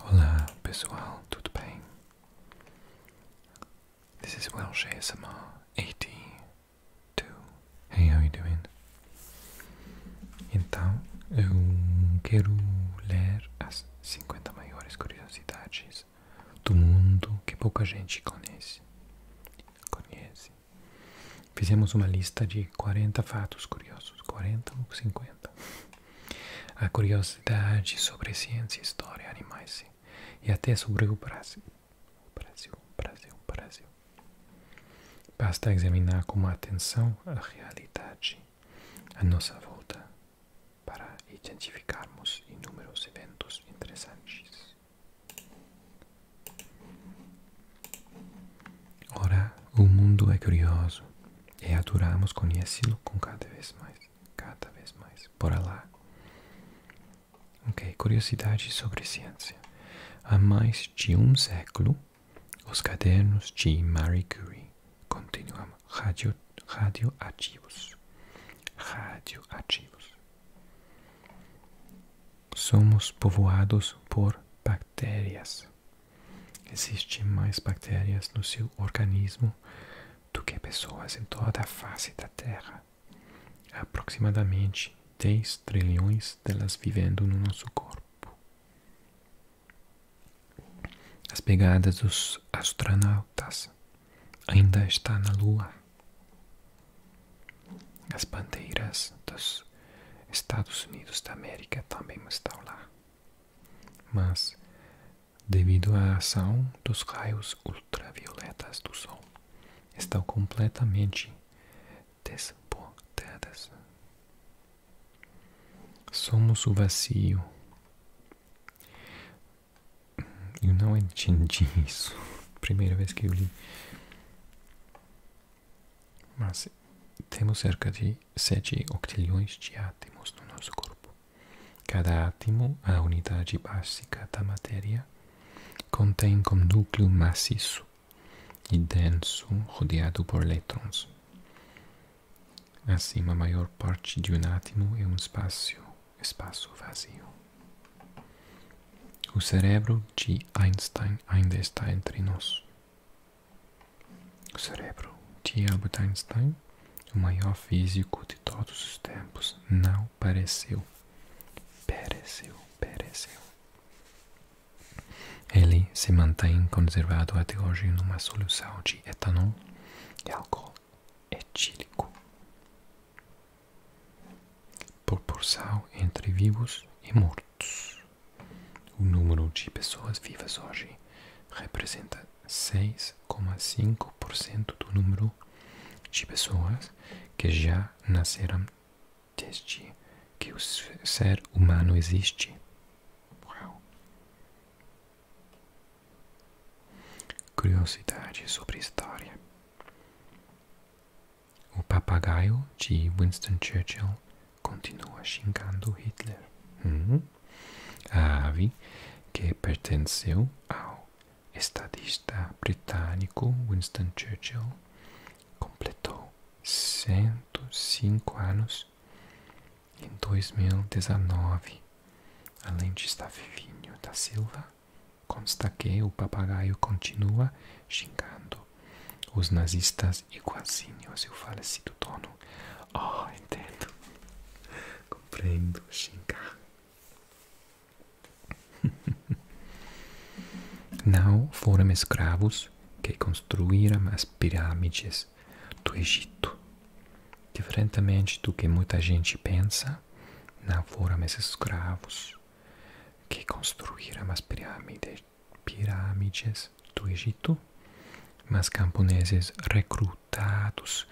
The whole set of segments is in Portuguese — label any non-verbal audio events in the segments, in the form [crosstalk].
Olá pessoal, tudo bem? This is Welsh ASMR 82. Hey, how are you doing? Então, eu quero ler as 50 maiores curiosidades do mundo que pouca gente conhece. Conhece. Fizemos uma lista de 40 fatos curiosos, 40 ou 50. A curiosidade sobre ciência, história, animais e até sobre o Brasil. Brasil, Brasil, Brasil. Basta examinar com atenção a realidade à nossa volta para identificarmos inúmeros eventos interessantes. Ora, o mundo é curioso e adoramos conhecê-lo com cada vez mais, cada vez mais. Bora lá. Ok, curiosidade sobre ciência. Há mais de um século, os cadernos de Marie Curie continuam radio, radioativos. Radioativos. Somos povoados por bactérias. Existem mais bactérias no seu organismo do que pessoas em toda a face da Terra. Aproximadamente 10 trilhões delas vivendo no nosso corpo. As pegadas dos astronautas ainda está na Lua. As bandeiras dos Estados Unidos da América também estão lá mas devido à ação dos raios ultravioletas do Sol, estão completamente desbordadas. Somos o vazio. Eu não entendi [laughs] isso. Primeira vez que eu li. Mas temos cerca de sete octilhões de átomos no nosso corpo. Cada átomo, a unidade básica da matéria, contém um núcleo maciço e denso rodeado por elétrons. Assim, a maior parte de um átomo é um espaço, espaço vazio. O cérebro de Einstein ainda está entre nós. O cérebro de Albert Einstein, o maior físico de todos os tempos, não pereceu. pareceu, pereceu. Ele se mantém conservado até hoje numa solução de etanol e álcool etílico. Proporção entre vivos e mortos. O número de pessoas vivas hoje representa 6,5% do número de pessoas que já nasceram desde que o ser humano existe. Uau. Curiosidade sobre história. O papagaio de Winston Churchill continua xingando Hitler. Hum? A ave, que pertenceu ao estadista britânico Winston Churchill, completou 105 anos em 2019. Além de estar vivinho da Silva, consta que o papagaio continua xingando os nazistas faz igualzinho é se eu faleci assim do dono. Oh, entendo. Compreendo, xingar. [laughs] Não foram escravos que construíram as pirâmides do Egito. Diferentemente do que muita gente pensa, não foram esses escravos que construíram as pirâmides pirâmides do Egito, mas camponeses recrutados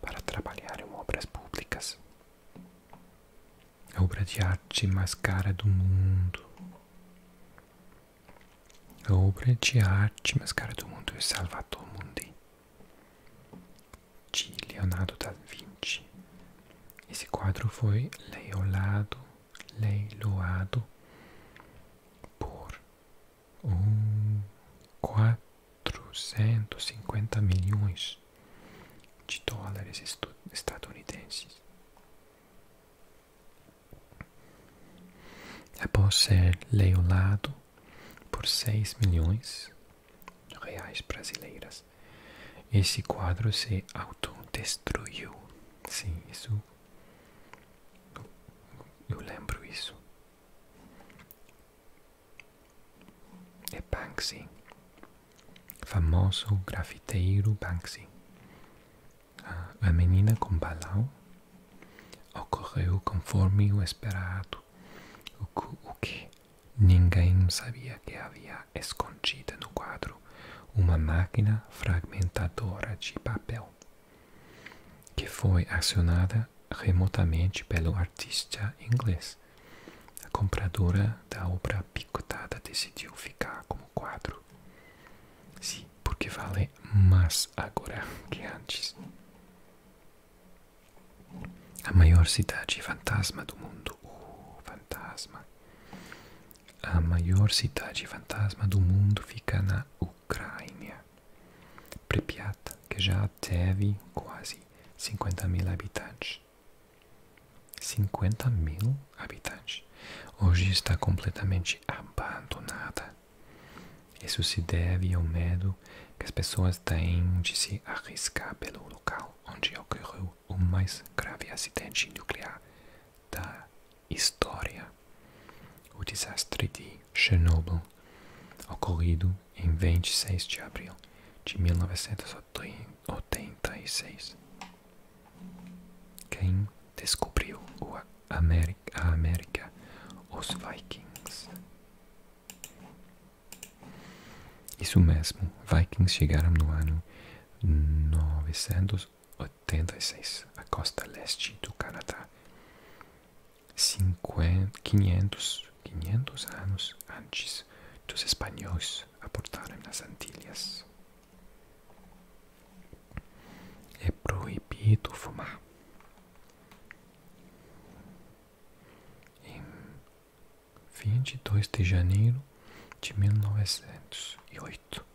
para trabalhar em obras públicas. A obra de arte mais cara do mundo. A obra de arte mais cara do mundo é Salvador Mundi, de Leonardo da Vinci. Esse quadro foi leiolado, leiloado por um, 450 milhões de dólares estadunidenses. Após ser leiloado por 6 milhões de reais brasileiras, esse quadro se autodestruiu. Sim, isso eu lembro isso. É Banksy, famoso grafiteiro Banksy. Ah, a menina com balão ocorreu conforme o esperado, o que ninguém sabia que havia escondida no quadro uma máquina fragmentadora de papel que foi acionada remotamente pelo artista inglês. A compradora da obra picotada decidiu ficar como quadro. Sim, porque vale mais agora que antes. A maior cidade fantasma do mundo. Oh, fantasma. A maior cidade fantasma do mundo fica na Ucrânia. Pripyat, que já teve quase 50 mil habitantes. 50 mil habitantes. Hoje está completamente abandonada. Isso se deve ao medo que as pessoas têm de se arriscar pelo local onde ocorreu o mais grave acidente nuclear da História. O desastre de Chernobyl, ocorrido em 26 de abril de 1986. Quem descobriu a América? Os Vikings. Isso mesmo, Vikings chegaram no ano 900 anos 86, a costa leste do Canadá. 50, 500, 500 anos antes dos espanhóis aportarem nas Antilhas. É proibido fumar. Em 22 de janeiro de 1908.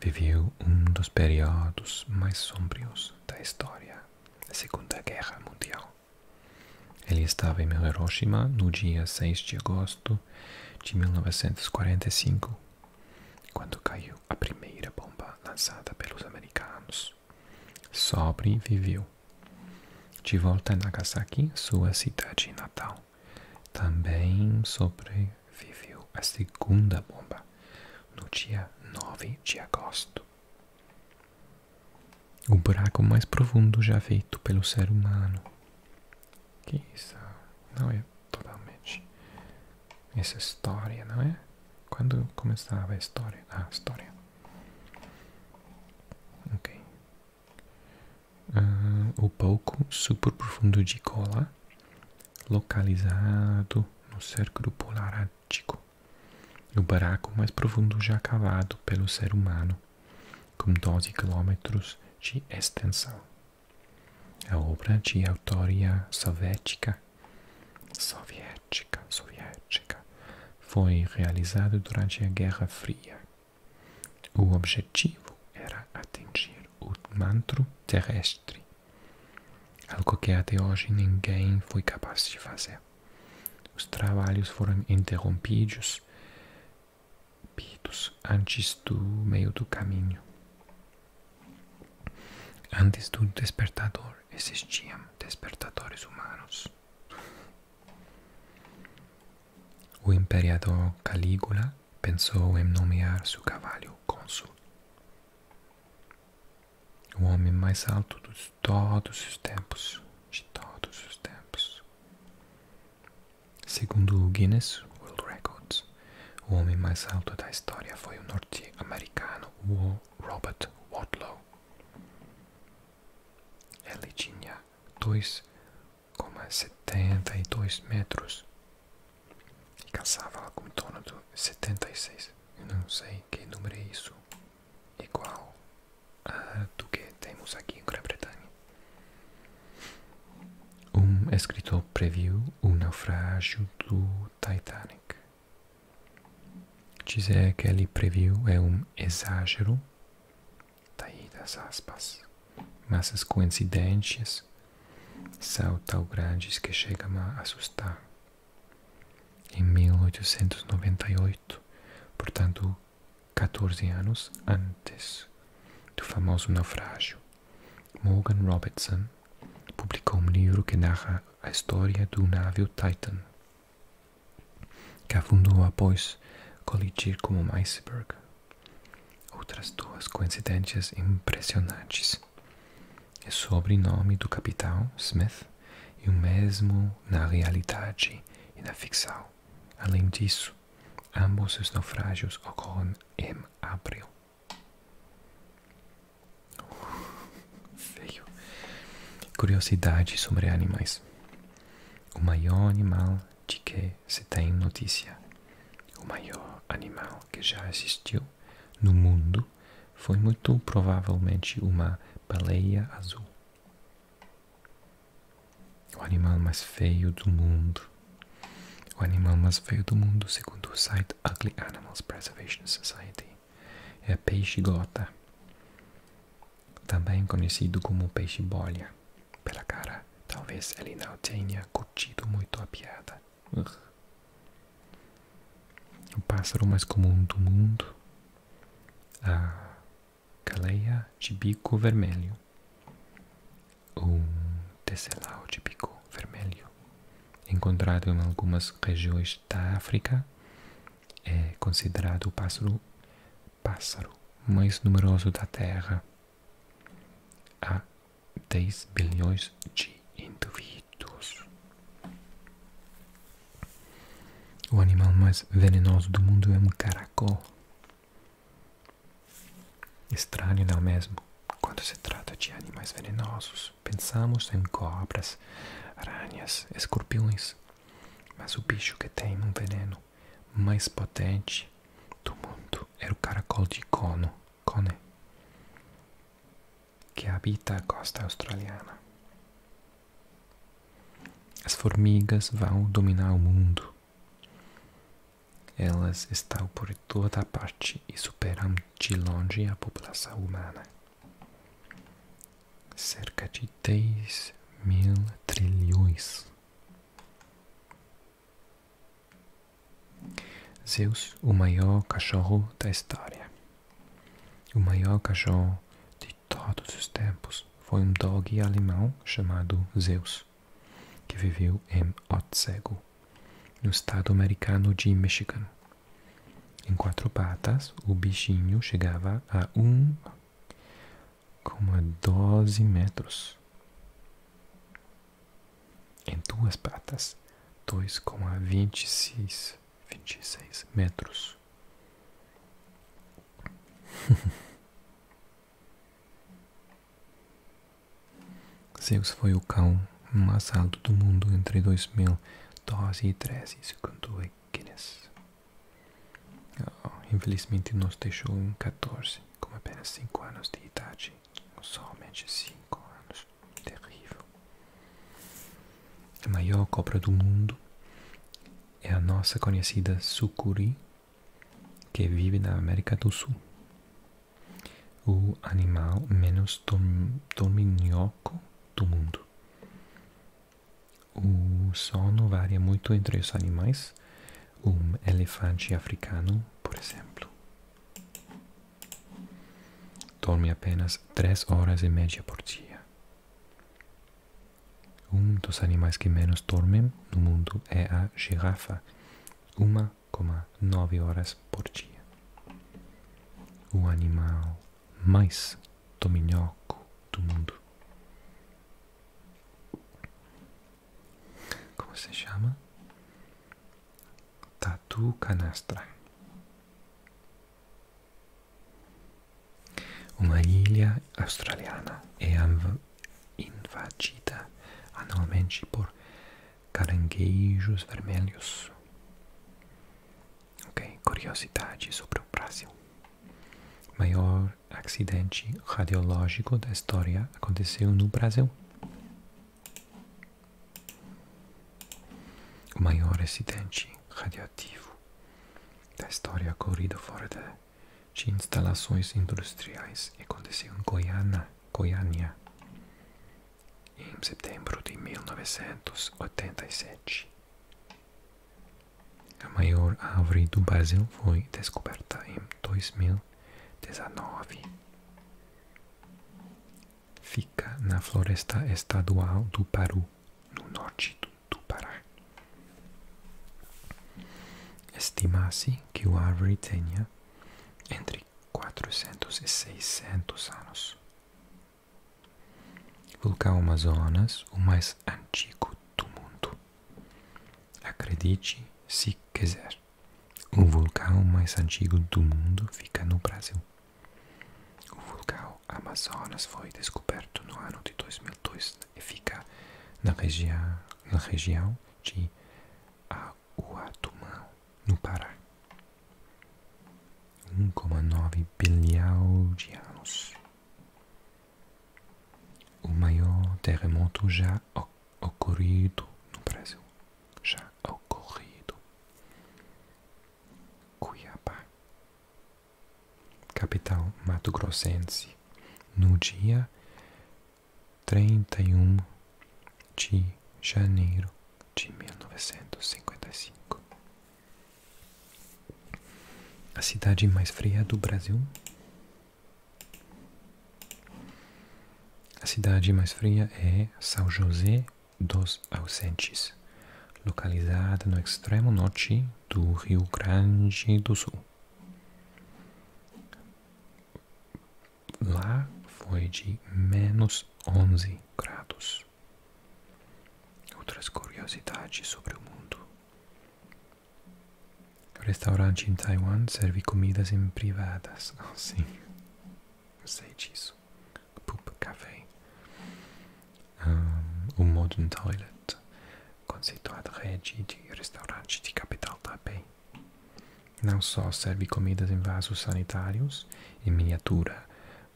viveu um dos períodos mais sombrios da história, a Segunda Guerra Mundial. Ele estava em Hiroshima no dia 6 de agosto de 1945, quando caiu a primeira bomba lançada pelos americanos. Sobreviveu. De volta a Nagasaki, sua cidade natal, também sobre viveu a segunda bomba no dia 9 de agosto. O buraco mais profundo já feito pelo ser humano. Que isso não é totalmente essa história, não é? Quando começava a história? Ah, história. Ok. Ah, o pouco super profundo de cola localizado no círculo polar ártico, no buraco mais profundo já cavado pelo ser humano, com 12 quilômetros de extensão. A obra de autoria soviética, soviética, soviética, foi realizada durante a Guerra Fria. O objetivo era atingir o manto terrestre Algo que até hoje ninguém foi capaz de fazer. Os trabalhos foram interrompidos antes do meio do caminho. Antes do despertador existiam despertadores humanos. O imperador Calígula pensou em nomear seu cavalo cônsul, o homem mais alto de todos os tempos, de todos os tempos. Segundo o Guinness World Records, o homem mais alto da história foi o norte-americano Robert Wadlow. Ele tinha 2,72 metros e caçava algo tono torno de 76. Eu não sei que número é isso, igual a do que temos aqui em Grã-Bretanha. Um escritor previu o naufrágio do Titanic. Dizer que ele previu é um exagero, daí tá das aspas, mas as coincidências são tão grandes que chegam a assustar. Em 1898, portanto 14 anos antes do famoso naufrágio, Morgan Robertson publicou um livro que narra a história do navio Titan, que afundou após colidir como um iceberg. Outras duas coincidências impressionantes é sobrenome do capitão Smith e o mesmo na realidade e na ficção. Além disso, ambos os naufrágios ocorrem em abril. [laughs] Feio. Curiosidade sobre animais. O maior animal de que se tem notícia. O maior animal que já existiu no mundo foi muito provavelmente uma baleia azul. O animal mais feio do mundo. O animal mais feio do mundo, segundo o site Ugly Animals Preservation Society, é a peixe-gota, também conhecido como peixe-bolha. Pela cara, talvez ele não tenha curtido muito a piada. O pássaro mais comum do mundo, a caleia de bico vermelho, o tesselau de bico vermelho, encontrado em algumas regiões da África, é considerado o pássaro pássaro mais numeroso da Terra. A 10 bilhões de indivíduos. O animal mais venenoso do mundo é um caracol. Estranho, não é mesmo? Quando se trata de animais venenosos, pensamos em cobras, aranhas, escorpiões. Mas o bicho que tem um veneno mais potente do mundo era o caracol de cono. Cone, que habita a costa australiana. As formigas vão dominar o mundo. Elas estão por toda parte e superam de longe a população humana. Cerca de 10 mil trilhões. Zeus, o maior cachorro da história. O maior cachorro de todos os tempos foi um dogue alemão chamado Zeus, que viveu em Otsego, no estado americano de Michigan. Em quatro patas, o bichinho chegava a 1,12 metros em duas patas, 2,26 26 metros. [laughs] Zeus foi o cão mais alto do mundo entre 2012 e 2013, segundo Guinness. Oh, infelizmente, nos deixou em 14, com apenas 5 anos de idade somente 5 anos. Terrível. A maior cobra do mundo é a nossa conhecida sucuri, que vive na América do Sul. O animal menos dom do mundo. O sono varia muito entre os animais. Um elefante africano, por exemplo. Dorme apenas três horas e meia por dia. Um dos animais que menos dormem no mundo é a girafa, 1,9 horas por dia. O animal mais dominóco do mundo. Como se chama? Tatu Canastra. Uma ilha australiana é invadida anualmente por caranguejos vermelhos. Ok, curiosidade sobre o Brasil. Maior acidente radiológico da história aconteceu no Brasil. O maior acidente radioativo da história ocorrido fora de instalações industriais aconteceu em Goiânia, Goiânia em setembro de 1987. A maior árvore do Brasil foi descoberta em 2019. Fica na floresta estadual do Paru, no norte do, Pará. Estima-se que o árvore tenha entre 400 e 600 anos. Vulcão Amazonas, o mais antigo do mundo. Acredite se quiser. O vulcão mais antigo do mundo fica no Brasil. O vulcão Amazonas foi descoberto no ano de 2002 e fica na, regi na região de Auatumã, no Pará. 1,9 bilhão de anos. O maior terremoto já ocorrido no Brasil já ocorrido. Cuiabá, capital mato-grossense, no dia 31 de janeiro de 1955. A cidade mais fria do Brasil? A cidade mais fria é São José dos Ausentes, localizada no extremo norte do Rio Grande do Sul. Lá foi de menos 11 graus. Outras curiosidades sobre o mundo. Restaurante em Taiwan serve comidas em privadas. [laughs] Ah, sim. Eu sei disso. Poop Café. Um, o Modern Toilet, conceituado rede de restaurantes de capital também. Não só serve comidas em vasos sanitários em miniatura,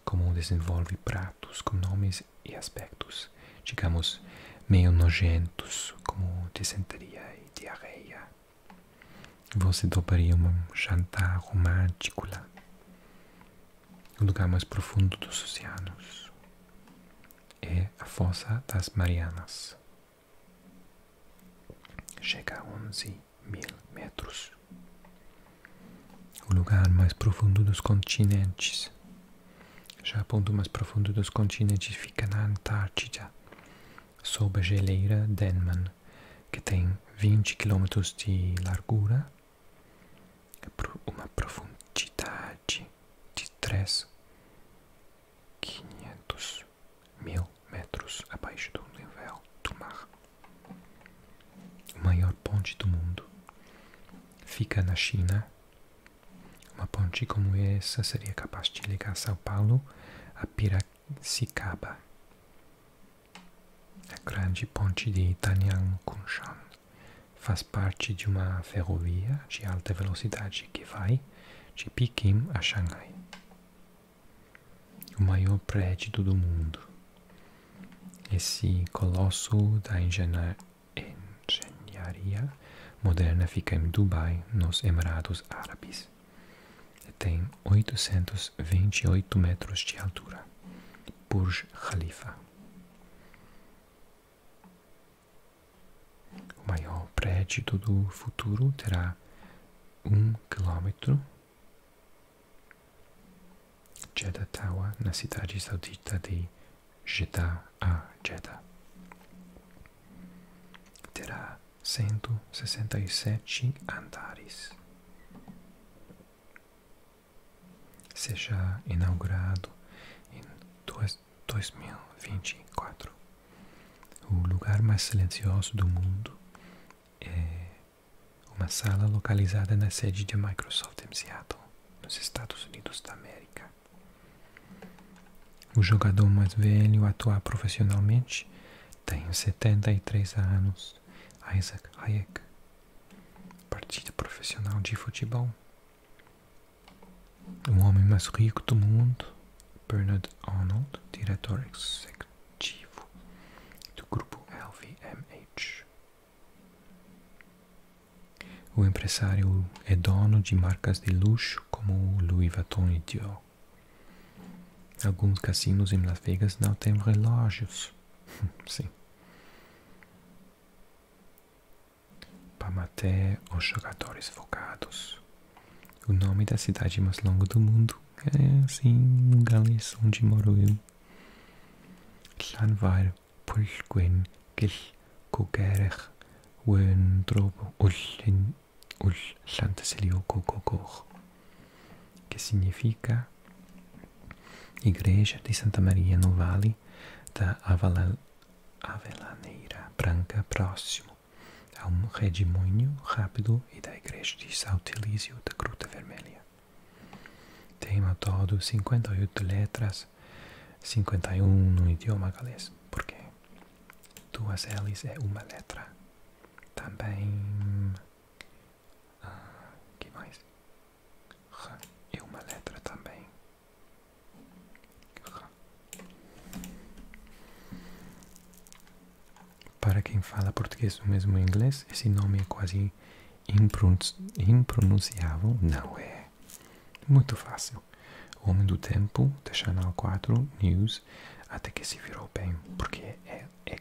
como desenvolve pratos com nomes e aspectos, digamos, meio nojentos, como dysenteria e diarreia. Você dobraria um jantar romântico lá, o lugar mais profundo dos oceanos. É a Fossa das Marianas. Chega a 11 mil metros. O lugar mais profundo dos continentes. Já o ponto mais profundo dos continentes fica na Antártida, sob a geleira Denman, que tem 20 km de largura, uma profundidade de 3,500 mil metros abaixo do nível do mar. O maior ponte do mundo fica na China. Uma ponte como essa seria capaz de ligar São Paulo a Piracicaba a grande ponte de Danyang-Kunshan faz parte de uma ferrovia de alta velocidade que vai de Pequim a Xangai. O maior prédio do mundo. Esse colosso da engenharia moderna fica em Dubai, nos Emirados Árabes. E tem 800 apenas 28 metros de altura, Burj Khalifa. O maior prédio do futuro terá um quilômetro. Jeddah Tower, na cidade saudita de Jeddah a Jeddah. Terá 167 andares. Seja inaugurado em 2024. O lugar mais silencioso do mundo é uma sala localizada na sede de Microsoft em Seattle, nos Estados Unidos da América. O jogador mais velho a atuar profissionalmente tem 73 anos Isaac Hayek, partida profissional de futebol. O homem mais rico do mundo, Bernard Arnold, diretor executivo do grupo LVMH. O empresário e é dono de marcas de luxo como Louis Vuitton e Dior. Alguns cassinos em Las Vegas não têm relógios. [laughs] Sim. Para matar os jogadores focados. O nome da cidade mais longa do mundo é assim, no galês onde moro eu. Landweil, Pulsquen, Gil, Kogerer, Wentrobo, Ulslanteselio, Kokokor que significa Igreja de Santa Maria no Vale da Avelaneira Branca, próximo a um redemoinho rápido e da Igreja de São Saltilício da Cruz Vermelha. Tem ao todo 58 letras, 51 no idioma galês, porque duas L's é uma letra. Também ah, que mais? R é uma letra também. Para quem fala português ou mesmo inglês, esse nome é quase impronunciável, não é? Muito fácil. homem do tempo, da Channel 4 News, até que se virou bem, porque é, é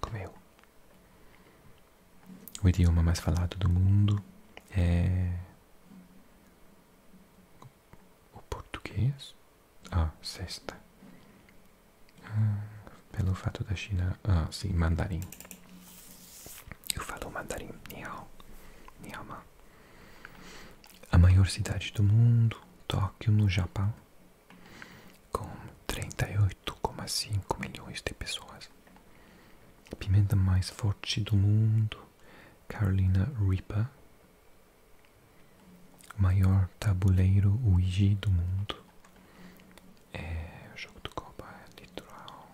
como eu. O idioma mais falado do mundo é o português. Ah, sexta. Ah, pelo fato da China. Ah, sim, mandarim. Eu falo mandarim. Nihao. Nihama. A maior cidade do mundo, Tóquio, no Japão, com 38,5 milhões de pessoas. A pimenta mais forte do mundo, Carolina Reaper. O maior tabuleiro Ouija do mundo é o jogo de Copa Litoral,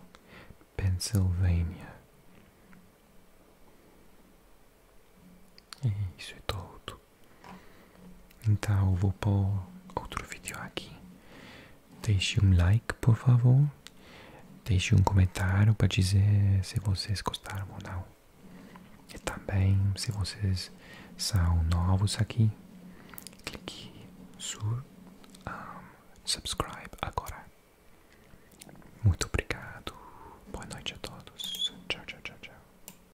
Pennsylvania. É isso é todo. Então vou pôr outro vídeo aqui. Deixe um like, por favor. Deixe um comentário para dizer se vocês gostaram ou não. E também, se vocês são novos aqui, clique sur subscribe agora. Muito obrigado. Boa noite a todos. Tchau, tchau, tchau, tchau.